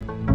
Tickle, tickle,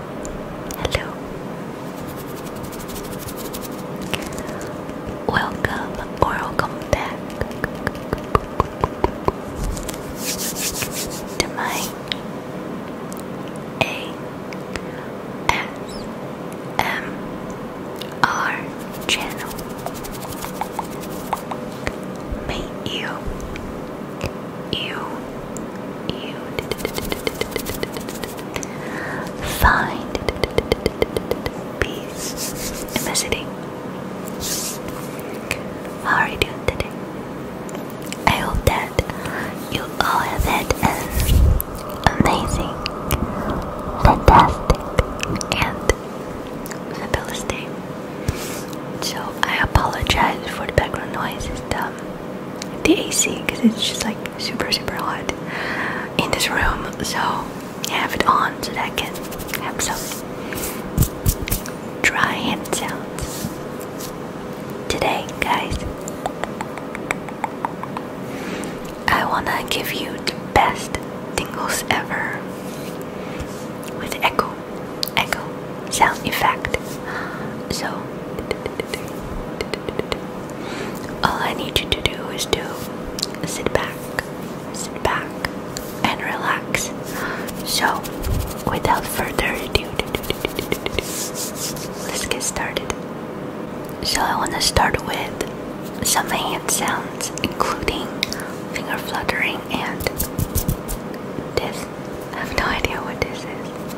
Hello. Welcome or welcome back to my A S M R channel. May you you you find peace. Am I sitting? How are you doing today? I hope that you all have had an amazing, fantastic, and fabulous day. So I apologize for the background noise. It's the um, the AC because it's just like super super hot in this room so I have it on so that I can have some dry hand sounds today guys I wanna give you the best tingles ever with echo echo sound effect so all I need you to do is to sit back, sit back, and relax. So, without further ado, let's get started. So, I want to start with some hand sounds, including finger fluttering and this. I have no idea what this is.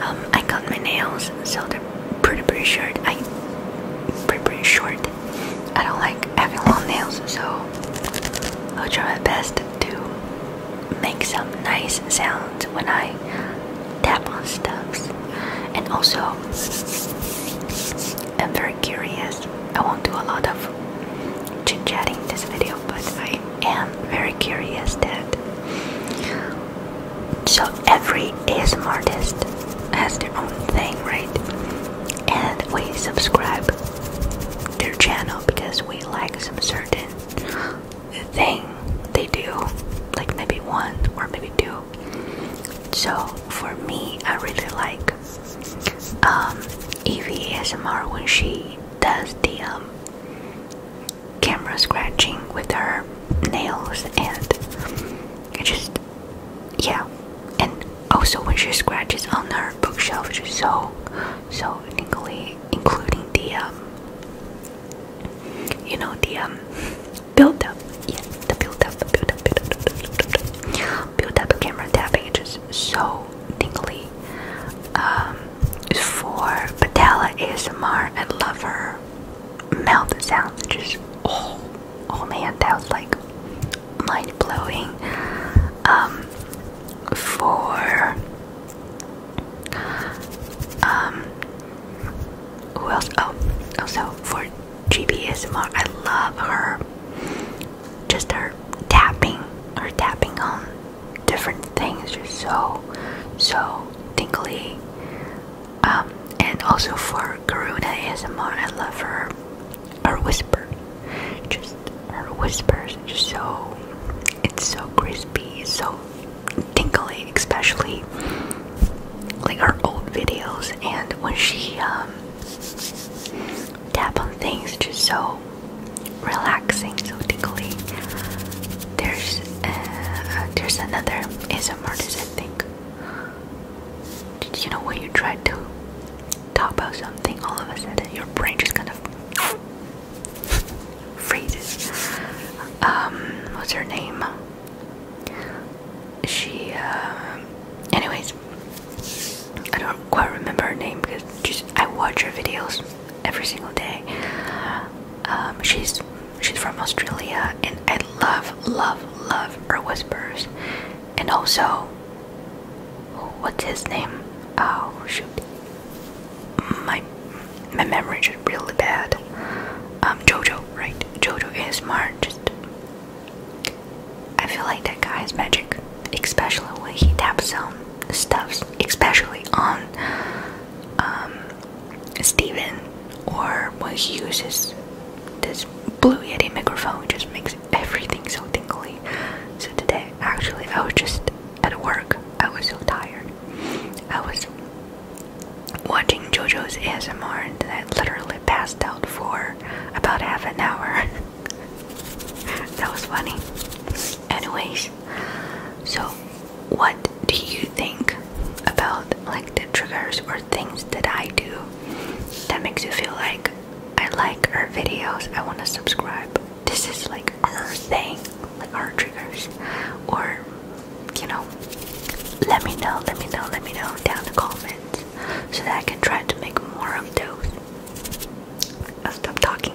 Um, I cut my nails, so they're pretty pretty short. I pretty pretty short. I don't like having long nails, so I'll try my best to make some nice sounds when I tap on stuffs. And also, I'm very curious. I won't do a lot of chit chatting this video, but I am very curious that so every ASMR artist has their own thing, right? And we subscribe their channel because we like some certain thing they do, like maybe one or maybe two. So for me, I really like um, Evie ASMR when she does the um, camera scratching with her nails and it just yeah and also when she scratches on her bookshelf she's so so tingly including the um you know the um build up yeah the build up the build up build up build up, build up, build up camera tapping it's just so tingly um for Patella ASMR. I love her mouth sounds. Just oh, oh man, that was like mind blowing. Um, for um, who else? Oh, oh so for GB ASMR. I love her. Just her tapping, her tapping on different things are so so tingly um, and also for Karuna a ASMR I love her her whisper just her whispers are just so it's so crispy so tingly especially like her old videos and when she um tap on things just so relaxing so tingly there's uh, there's another ASMR I think. Did you know when you try to talk about something, all of a sudden your brain just kind of freezes. Um, what's her name? She, uh, anyways, I don't quite remember her name because just I watch her videos every single day. Um, she's she's from Australia, and I love, love, love her whispers. And also, what's his name? Oh shoot, my my memory is really bad. Um, Jojo, right? Jojo is smart. I feel like that guy is magic, especially when he taps on stuffs, especially on um, Steven or when he uses this Blue Yeti microphone just makes everything so tingly. So today actually I was just at work. I was so tired. I was watching JoJo's ASMR and I literally passed out for about half an hour. that was funny. Anyways, so what do you think about like the triggers or things that I do that makes you feel like I like her videos, I want to subscribe. This is like our thing, like our triggers, or you know, let me know, let me know, let me know down in the comments so that I can try to make more of those. I'll stop talking.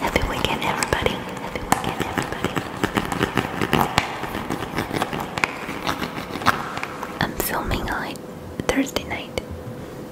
Happy weekend, everybody. Happy weekend, everybody. I'm filming on Thursday night.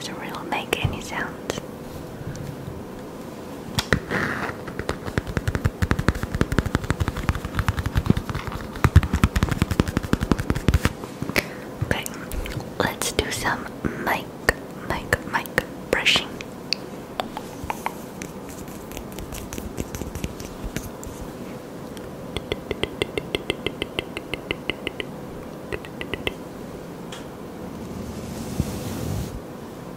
Didn't really make any sound. Okay, let's do some mic, mic, mic brushing.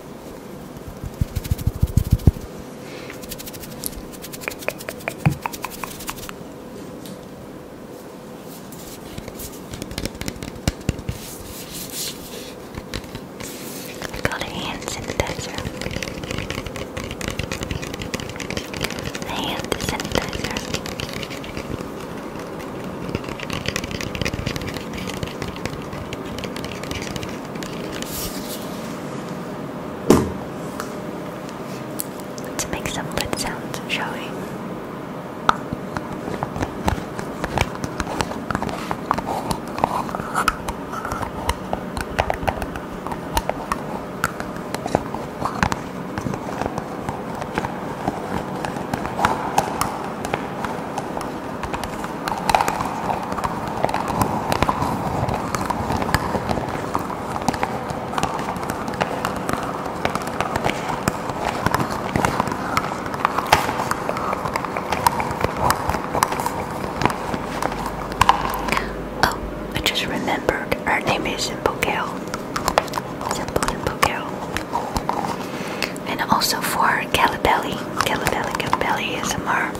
Got a hand sanitizer. hand sanitizer. Let's make some lid sounds, shall we? Oh, I just remembered her name is Simple Gal. Simple, Simple Gal. And also for Calabelli. Calabelli, Calabelli is a more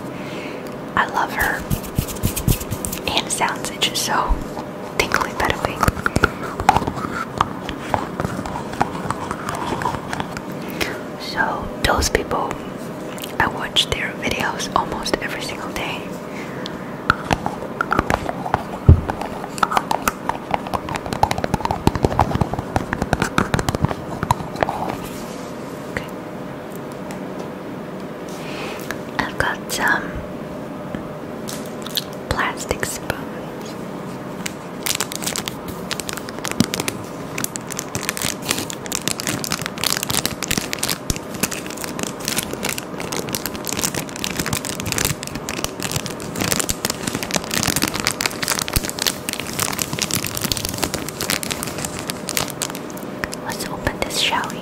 I love her. And sounds it just so tingly way, So those people I watch their videos almost every single day. Okay. I've got some plastic spoons. Let's open this, shall we?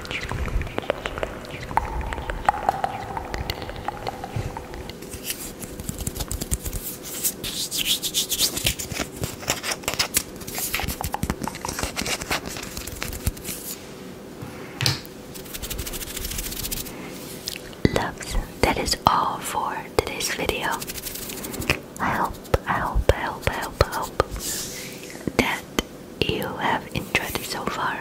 Loves, that is all for today's video. I hope, I hope, I hope, you have enjoyed it so far.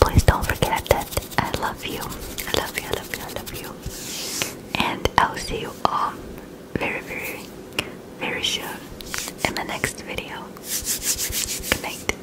Please don't forget that I love you. I love you, I love you, I love you. And I'll see you all very, very, very soon in the next video. Good night.